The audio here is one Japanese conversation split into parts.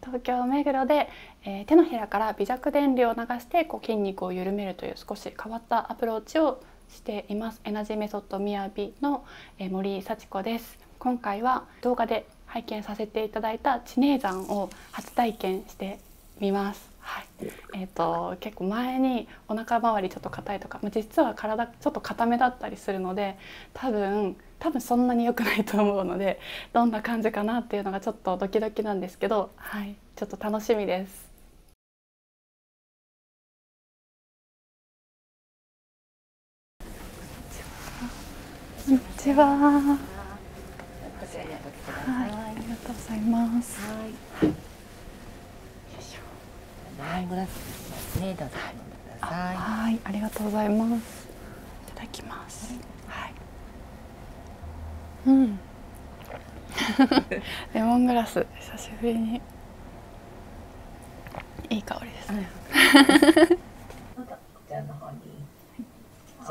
東京目黒で、え手のひらから微弱電流を流してこう筋肉を緩めるという少し変わったアプローチをしていますエナジーメソッドみやびの、え森幸子です今回は動画で拝見させていただいた知名山を初体験してみますはい、えっ、と結構前にお腹周りちょっと硬いとか、ま実は体ちょっと硬めだったりするので多分多分そんなに良くないと思うのでどんな感じかなっていうのがちょっとドキドキなんですけど、はい、ちょっと楽しみです。こんにちは。はい、ありがとうございます。はい。はい、はい、ありがとうございます。いただきます。はい、うん レモングラス久しぶりにいい香りですね、うん、こちらの方は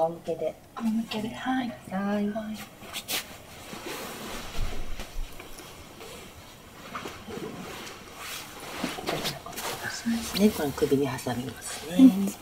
い、はい、はい首に挟みますね。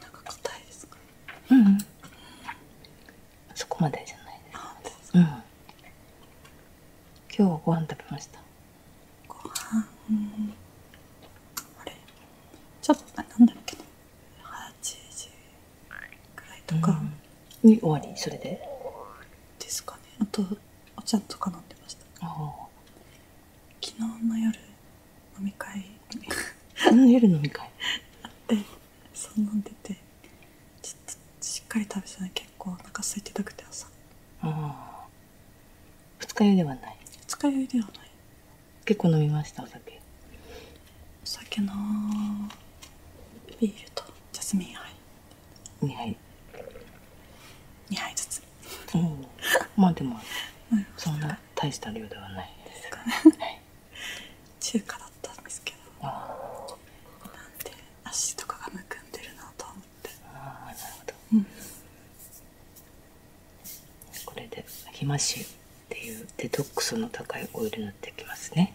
なんか硬いですかうん、そこまでじゃないうん今日ご飯食べましたご飯、ん、あれちょっとなんだっけな8時くらいとか、に終わりそれでですかねあとお茶とか飲んでました昨日の夜飲み会夜飲み会あそう飲んでてしっかり食べてな結構お腹空いてたくて朝二日酔いではない二日酔いではない結構飲みましたお酒お酒のビールとジャスミンはい。2杯2杯ずつうん まあでもそんな大した量ではない中華だったんですけどなんで足とかがむくんでるなと思ってああなるほど、これでひましっていうデトックスの高いオイル塗ってきますね、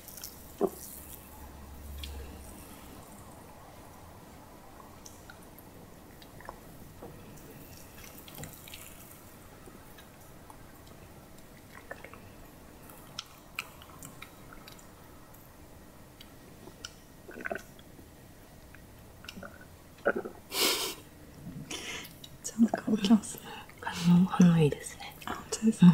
ちゃんと乾きますね。反応いいですね。あ、本当ですか。うん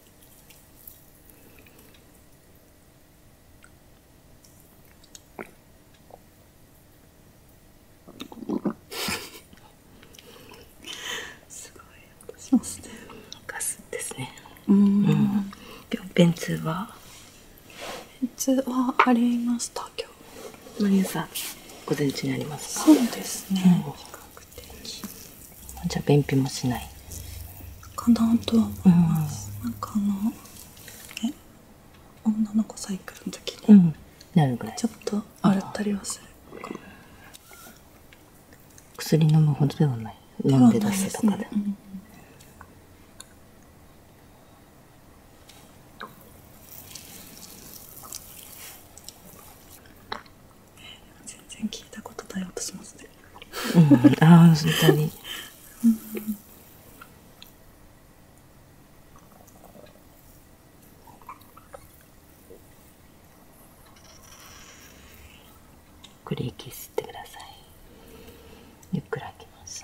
すごい私もステガスですねうん、うん、でも便通は便通はありました今日マリウさん午前中にありますかそうですね、うん的じゃあ便秘もしないかなとは思います、うん、なんかあのえ女の子サイクルの時に、うん、なるぐらいちょっと洗ったりはする薬飲むほどではない飲んで出すとかで、ねうん、全然聞いたことない音しますね。うん、ああ、本当に。ゆっくり息吸ってくださいゆっくり吐きます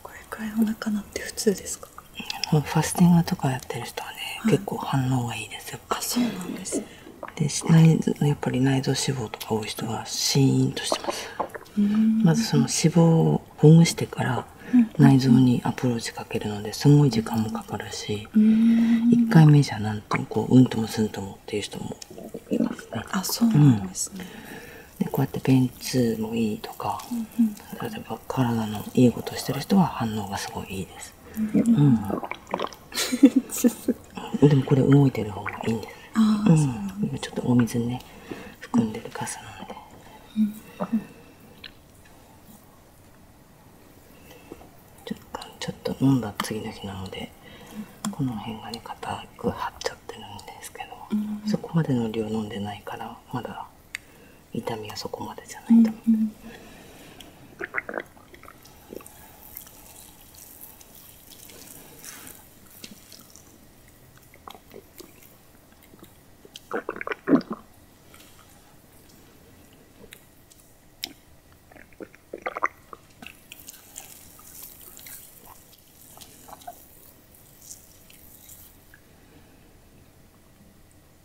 これからいお腹なって普通ですかファスティングとかやってる人はね、結構反応がいいですよあそうなんですねで内やっぱり内臓脂肪とか多い人はシーンとしてますまずその脂肪をほぐしてから内臓にアプローチかけるのですごい時間もかかるし1回目じゃなんとこううんともすんともっていう人もいますねあそうなんですね、体のいいことしてる人は反応がすごいいいです、でもこれ動いてる方がいいちょっとお水ね含んでるカスなんで、ちょっと飲んだ次の日なのでこの辺がね硬く張っちゃってるんですけど、そこまでの量飲んでないからまだ痛みはそこまでじゃないと思うん、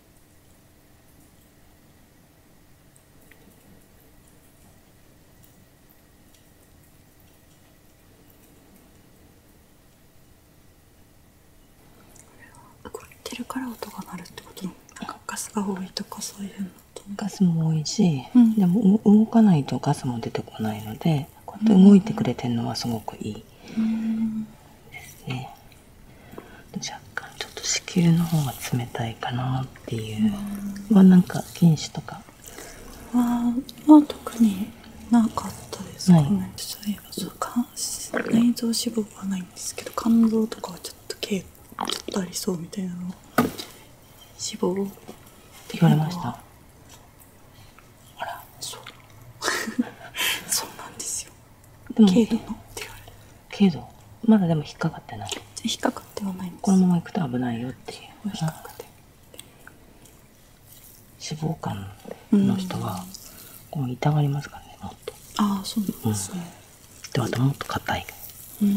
これは動いてるから音が鳴るってことなんかガスが多いとかそういうのガスも多いし、うん、でも動かないとガスも出てこないのでこうやって動いてくれてるのはすごくいいですね。うん若干ちょっと子宮の方が冷たいかなっていうはなんか筋腫とかは、ま特になかったですかねそういえばそう内臓脂肪はないんですけど肝臓とかはちょっと軽ちっとありそうみたいなの脂肪って言われましたあらそう そうなんですよでも軽度まだでも引っかかってない引っかかってはないこのままいくと危ないよっていう脂肪肝の人は、こう痛がりますからねもっとああそうなんですね、うん、であともっと硬いうん、うん、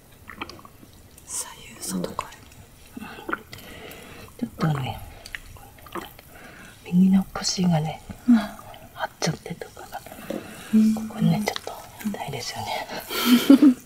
左右外からちょっとね右の腰がね、張っちゃってとかが、うん、ここねちょっと痛いですよね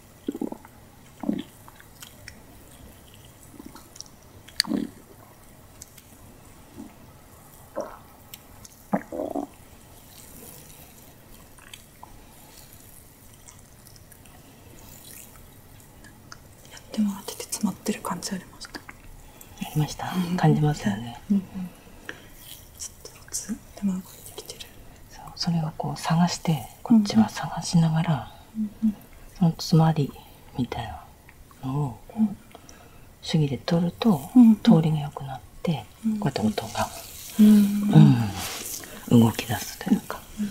ってもらってて詰まってる感じありました。ありました。感じますよね。うんうん、ちょっとずつ手間が出てきてる。そうそれをこう探してこっちは探しながら、うんそのつまりみたいなのをこう、うん、で取ると、通りが良くなって、こうやって音が、うん、動き出すというか。うん、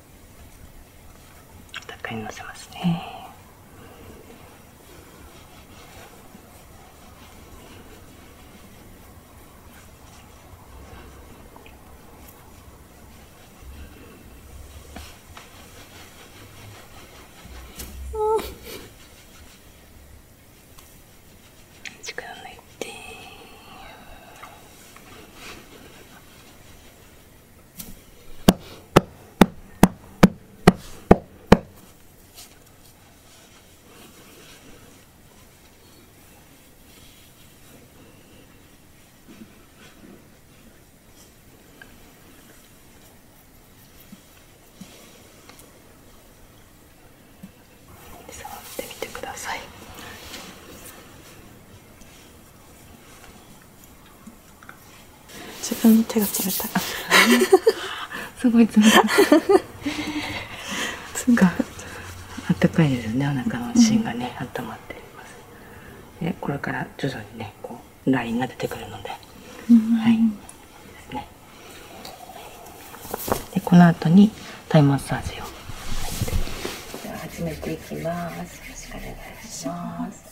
たっぷのせますね力抜いて。触ってみてください。自分の手が冷たいすごい冷たいつかあったかいですねお腹の芯がね、温まってでこれから徐々にねこうラインが出てくるので、はいねこの後にタイマッサージを始めていきますよろしくお願いします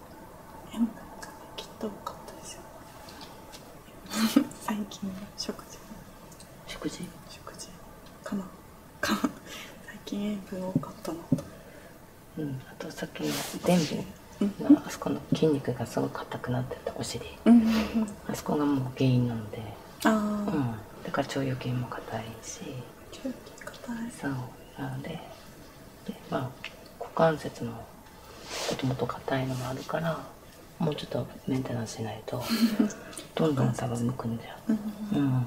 絵もなんかねきっかっ 最近の食事食事食事かな 最近塩分多かったなとうんあとさっきの全部、あ、そこの筋肉がすごく硬くなってたお尻、あそこがもう原因なのでだから腸腰筋も硬いし腸腰筋硬いなのでまあ股関節ももともと硬いのもあるからもうちょっとメンテナンスしないと どんどん多分むくんじゃう。うん、うん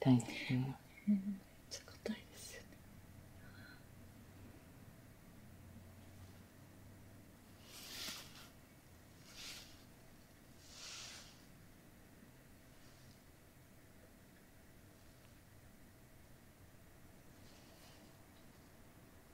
痛いですね。ちょっといですよね。